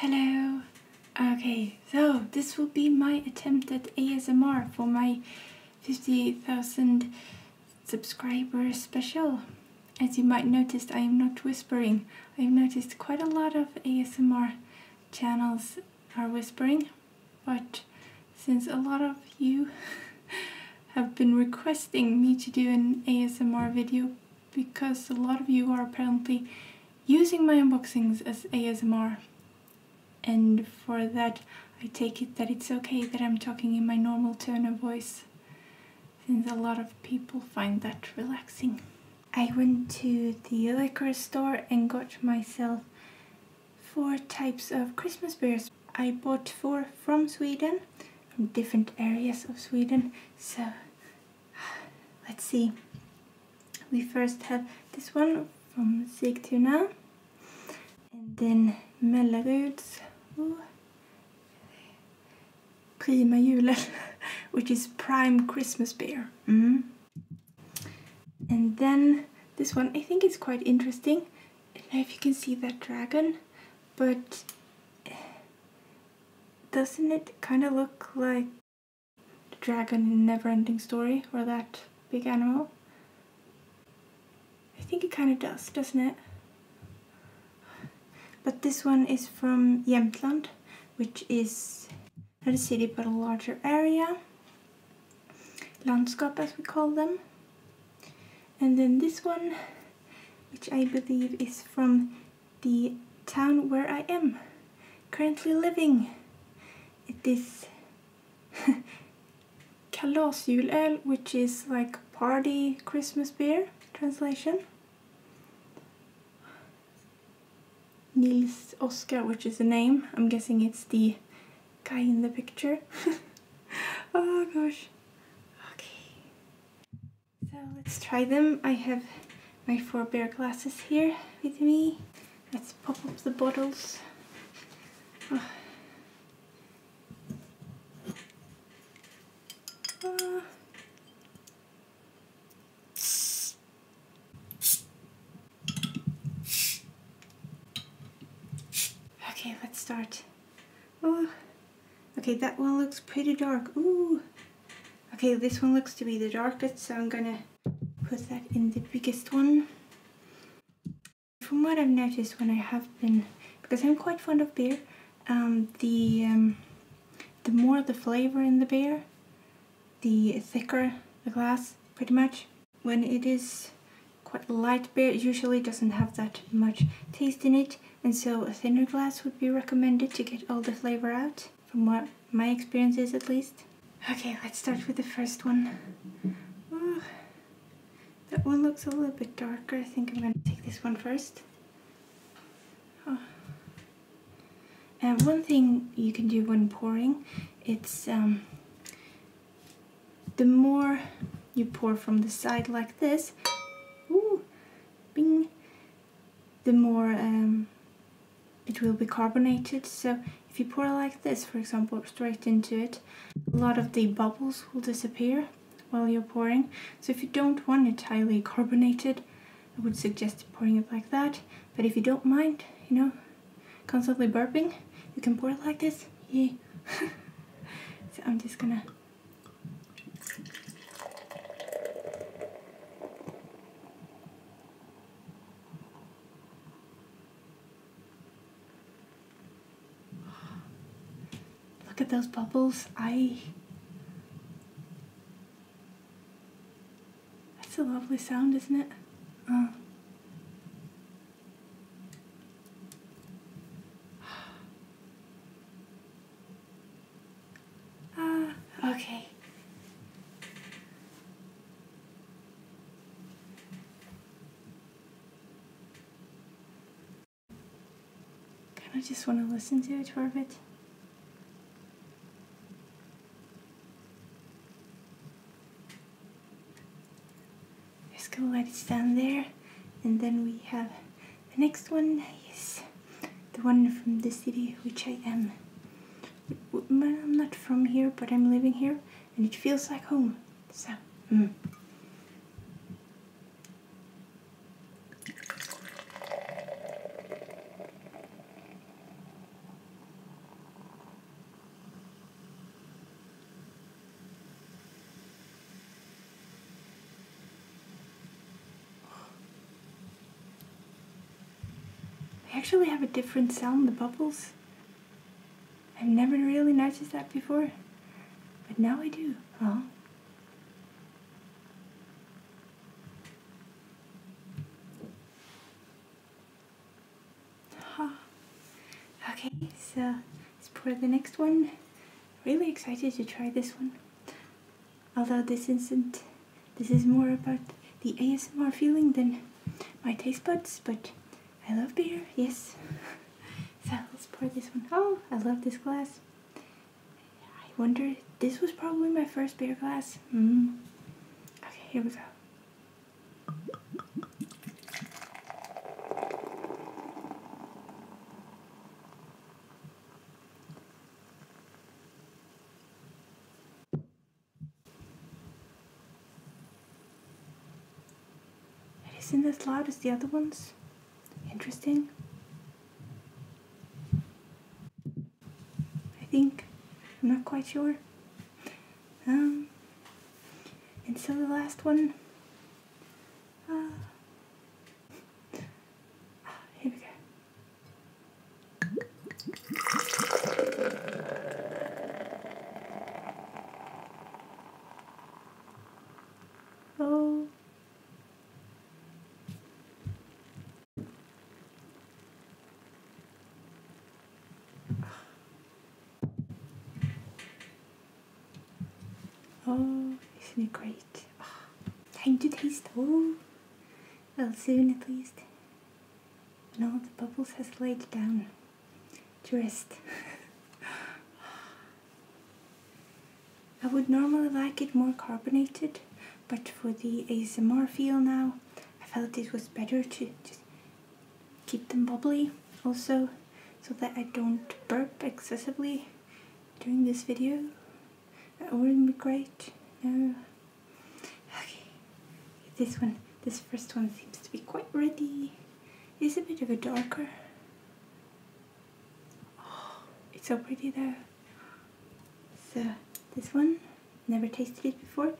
Hello. Okay, so this will be my attempt at ASMR for my 50,000 subscriber special. As you might notice, I am not whispering. I've noticed quite a lot of ASMR channels are whispering, but since a lot of you have been requesting me to do an ASMR video, because a lot of you are apparently using my unboxings as ASMR. And for that, I take it that it's okay that I'm talking in my normal tone of voice, since a lot of people find that relaxing. I went to the liquor store and got myself four types of Christmas beers. I bought four from Sweden, from different areas of Sweden, so let's see we first have this one from Sigtuna and then Melleruds oh, Prima Julen which is prime Christmas beer mm. and then this one I think is quite interesting I don't know if you can see that dragon but doesn't it kind of look like the dragon in Neverending Story or that big animal? I think it kind of does, doesn't it? But this one is from Jämtland, which is not a city but a larger area. Landskap as we call them. And then this one, which I believe is from the town where I am currently living. It is kalasjulöl, which is like party Christmas beer translation. Nils Oscar, which is the name. I'm guessing it's the guy in the picture. oh gosh. Okay. So let's try them. I have my four beer glasses here with me. Let's pop up the bottles. Ah. Okay, let's start Oh, okay, that one looks pretty dark. Ooh. Okay, this one looks to be the darkest, so I'm gonna put that in the biggest one. From what I've noticed when I have been, because I'm quite fond of beer, um, the um, the more the flavor in the beer, the thicker the glass, pretty much. When it is quite light beer, usually doesn't have that much taste in it, and so a thinner glass would be recommended to get all the flavor out, from what my experience is at least. Okay, let's start with the first one. that one looks a little bit darker. I think I'm gonna take this one first. Oh. And one thing you can do when pouring, it's um, the more you pour from the side like this, ooh, bing, the more um, it will be carbonated. So if you pour like this, for example, straight into it, a lot of the bubbles will disappear while you're pouring. So if you don't want it highly carbonated, I would suggest pouring it like that. But if you don't mind, you know, constantly burping, you can pour it like this. Yeah. so I'm just gonna Look at those bubbles. I. That's a lovely sound, isn't it? Uh ah, okay. Kind of just want to listen to it for a bit. Just gonna let it stand there. And then we have the next one is the one from the city which I am. I'm not from here, but I'm living here, and it feels like home. So. Mm. They actually have a different sound, the bubbles. I've never really noticed that before, but now I do. Uh-huh. Huh? Okay, so Let's pour the next one. Really excited to try this one. Although this isn't, this is more about the ASMR feeling than my taste buds, but I love beer, yes. so let's pour this one. Oh, I love this glass. I wonder, this was probably my first beer glass. Mm. Okay, here we go. It in as loud as the other ones. Interesting. I think. I'm not quite sure. Um, and so the last one, uh, ah, here we go. Oh. Oh, isn't it great? time to taste. Oh, well, soon at least. When all the bubbles has laid down to rest. I would normally like it more carbonated, but for the ASMR feel now, I felt it was better to just keep them bubbly also so that I don't burp excessively during this video. That wouldn't be great. No. Okay. This one, this first one seems to be quite ready. It's a bit of a darker. it's so pretty though. So this one, never tasted it before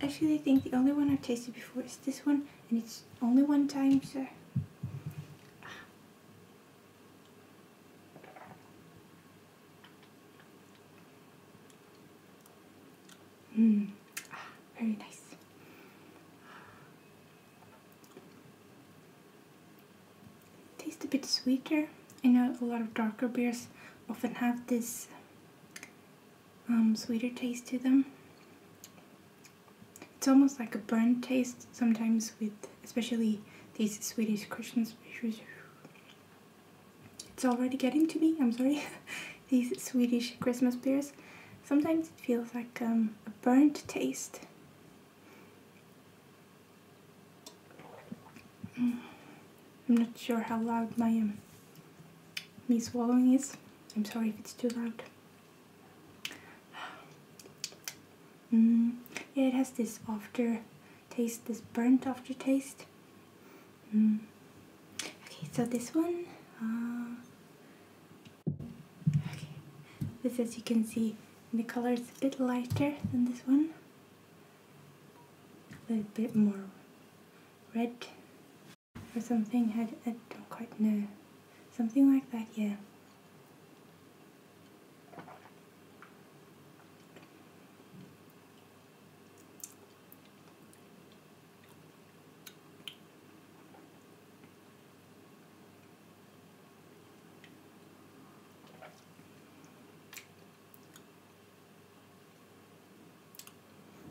actually I think the only one I've tasted before is this one and it's only one time sir. Mmm, ah, very nice. Tastes a bit sweeter. I know a lot of darker beers often have this um, sweeter taste to them. It's almost like a burnt taste sometimes with especially these Swedish Christmas beers. It's already getting to me, I'm sorry. these Swedish Christmas beers. Sometimes it feels like um, a burnt taste. Mm. I'm not sure how loud my me um, swallowing is. I'm sorry if it's too loud. Mm, yeah, it has this after taste, this burnt aftertaste. Mm. Okay, so this one. Uh, okay, this as you can see, the color is a bit lighter than this one. A little bit more red or something. I, don't quite know. Something like that, yeah.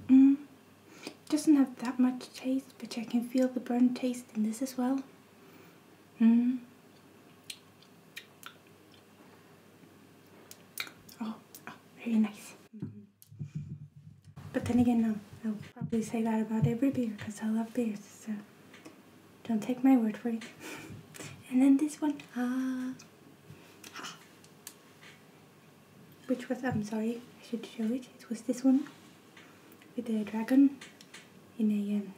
Mm. Doesn't have that much taste, but I can feel the burnt taste in this as well. Mm. Oh, very oh, nice. But then again, no, um, I'll probably say that about every beer because I love beers, so don't take my word for it. and then this one, ah which was I'm sorry I should show it it was this one with the dragon in a um,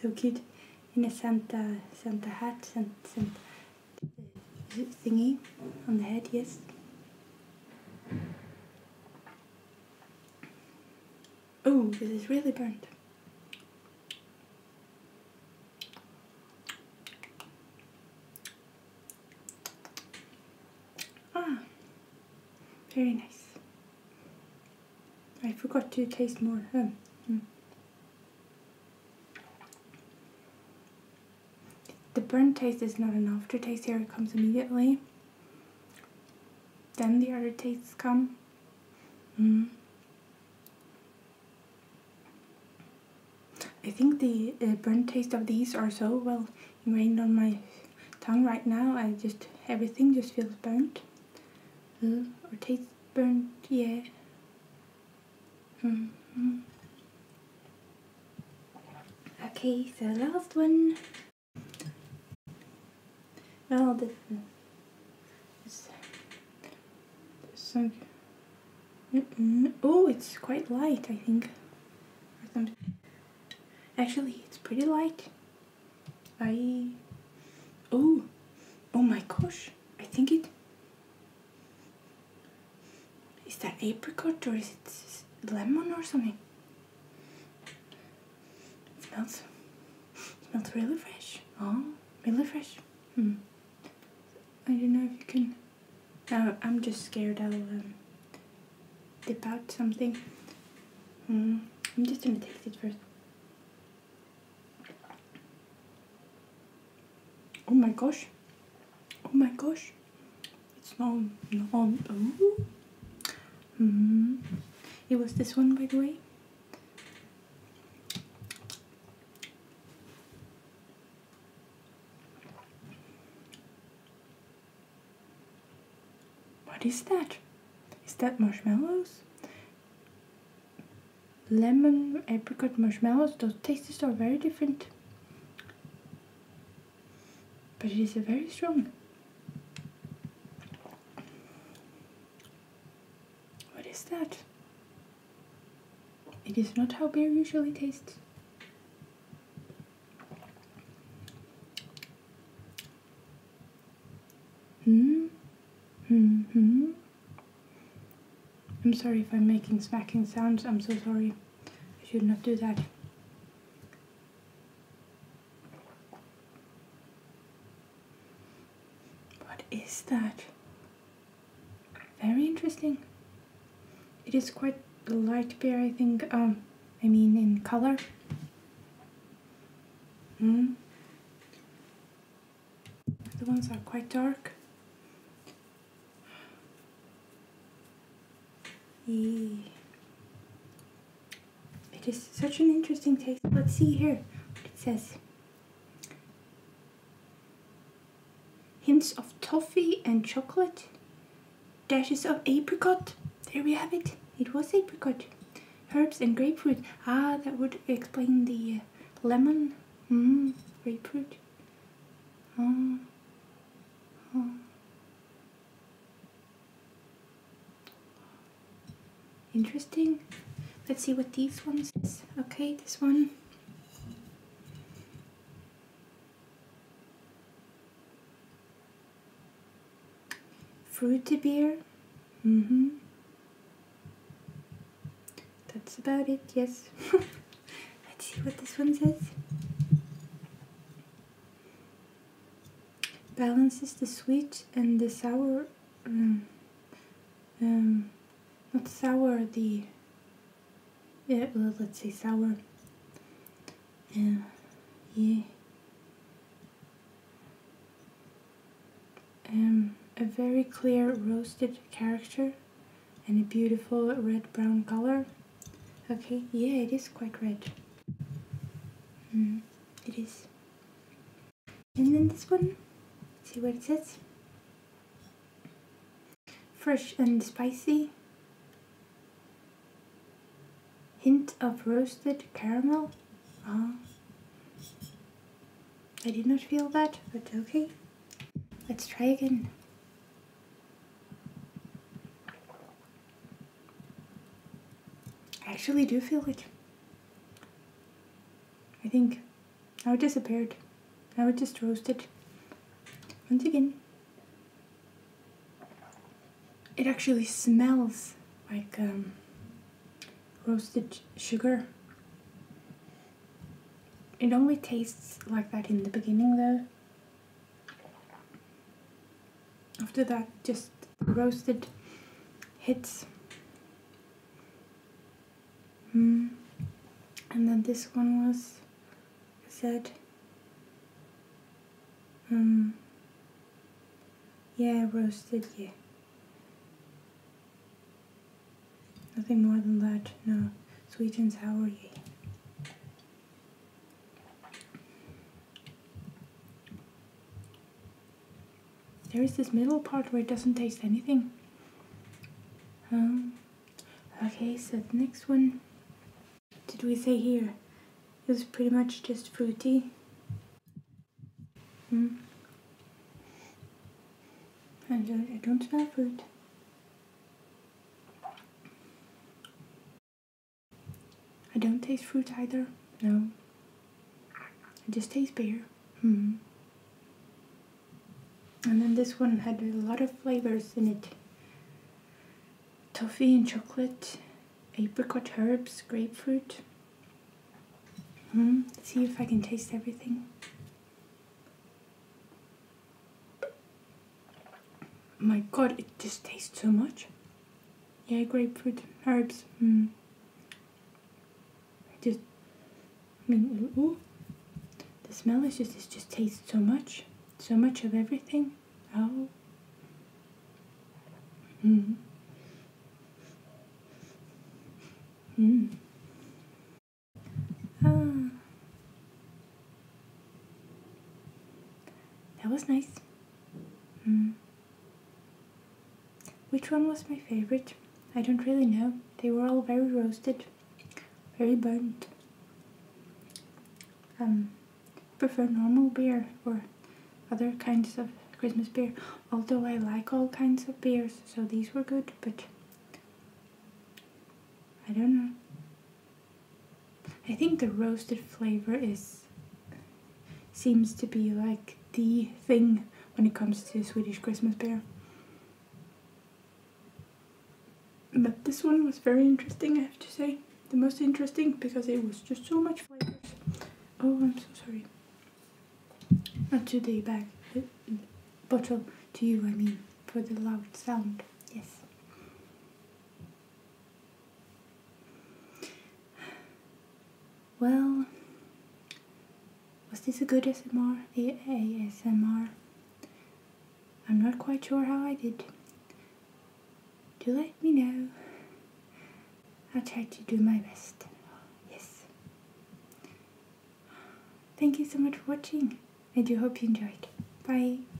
so cute in a Santa Santa hat Santa, Santa thingy on the head yes oh this is really burnt Ah, very nice. I forgot to taste more. Um, hmm. The burnt taste is not enough. an taste here, it comes immediately. Then the other tastes come. Mm. I think the uh, burnt taste of these are so well ingrained on my tongue right now. I just everything just feels burnt. Mm, or tastes burnt, yeah. Mm-hmm. Okay, so last one. Well, the it's, Oh, it's quite light, I think. Actually, it's pretty light. I. Oh, oh my gosh! I think it. Is that apricot or is it lemon or something? smells. smells really fresh. Oh, really fresh. Hmm. I don't know if you can. Uh, I'm just scared I'll um, dip out something. Hmm. I'm just gonna taste it first. Oh my gosh. Oh my gosh. It's not non. Oh. Hmm. It was this one, by the way. What is that? Is that marshmallows? Lemon, apricot, marshmallows, those tastes are very different. But it is very strong. What is that? It is not how beer usually tastes. Hmm? Hmm hmm. I'm sorry if I'm making smacking sounds, I'm so sorry. I should not do that. What is that? Very interesting. It is quite light beer, I think. Um, I mean, in color. Hmm. The ones are quite dark. Eee. It is such an interesting taste. Let's see here it says. Hints of toffee and chocolate. Dashes of apricot. There we have it. It was apricot. Herbs and grapefruit. Ah, that would explain the uh, lemon. Mmm, grapefruit. Oh interesting. Let's see what these ones is. Okay, this one. Fruity beer. Mm-hmm. That's about it, yes. Let's see what this one says balances the sweet and the sour. Mm, um, not sour, the. Yeah, well, let's say sour. Uh, yeah. Um, a very clear roasted character and a beautiful red brown color. Okay, yeah, it is quite red. Mm, it is and then this one see what it says fresh and spicy hint of roasted caramel uh, I did not feel that but okay let's try again I actually do feel like I think I would disappeared. I would just roasted Once again, it actually smells like um, roasted sugar. It only tastes like that in the beginning though. After that, just roasted hits. Mm. And then this one was said. Um, hmm. yeah, roasted, yeah. Nothing more than that, no. sweetens. How are you? There is this middle part where it doesn't taste anything. Um, okay, so the next one, did we say here? It was pretty much just fruity. Mm. I don't, I don't smell fruit. I don't taste fruit either. No. I just taste beer. Hmm. And then this one had a lot of flavors in it. Toffee and chocolate, apricot herbs, grapefruit. Hmm. Let's see if I can taste everything. My god, it just tastes so much. Yeah, grapefruit, herbs. Mm. just, I mean, the smell is just, it just tastes so much, so much of everything. Oh. Mm. Mm. Ah. That was nice. Hmm. Which one was my favorite? I don't really know. They were all very roasted, very burnt. Um, prefer normal beer or other kinds of Christmas beer. Although I like all kinds of beers, so these were good, but I don't know. I think the roasted flavor is seems to be like the thing when it comes to Swedish Christmas beer. But this one was very interesting, I have to say. The most interesting because it was just so much flavors. Oh, I'm so sorry. Not to the bag, the uh, bottle, to you I mean, for the loud sound, yes. Well, was this a good ASMR? A ASMR? I'm not quite sure how I did. Do let me know. I'll try to do my best. Yes. Thank you so much for watching. I do hope you enjoyed. Bye.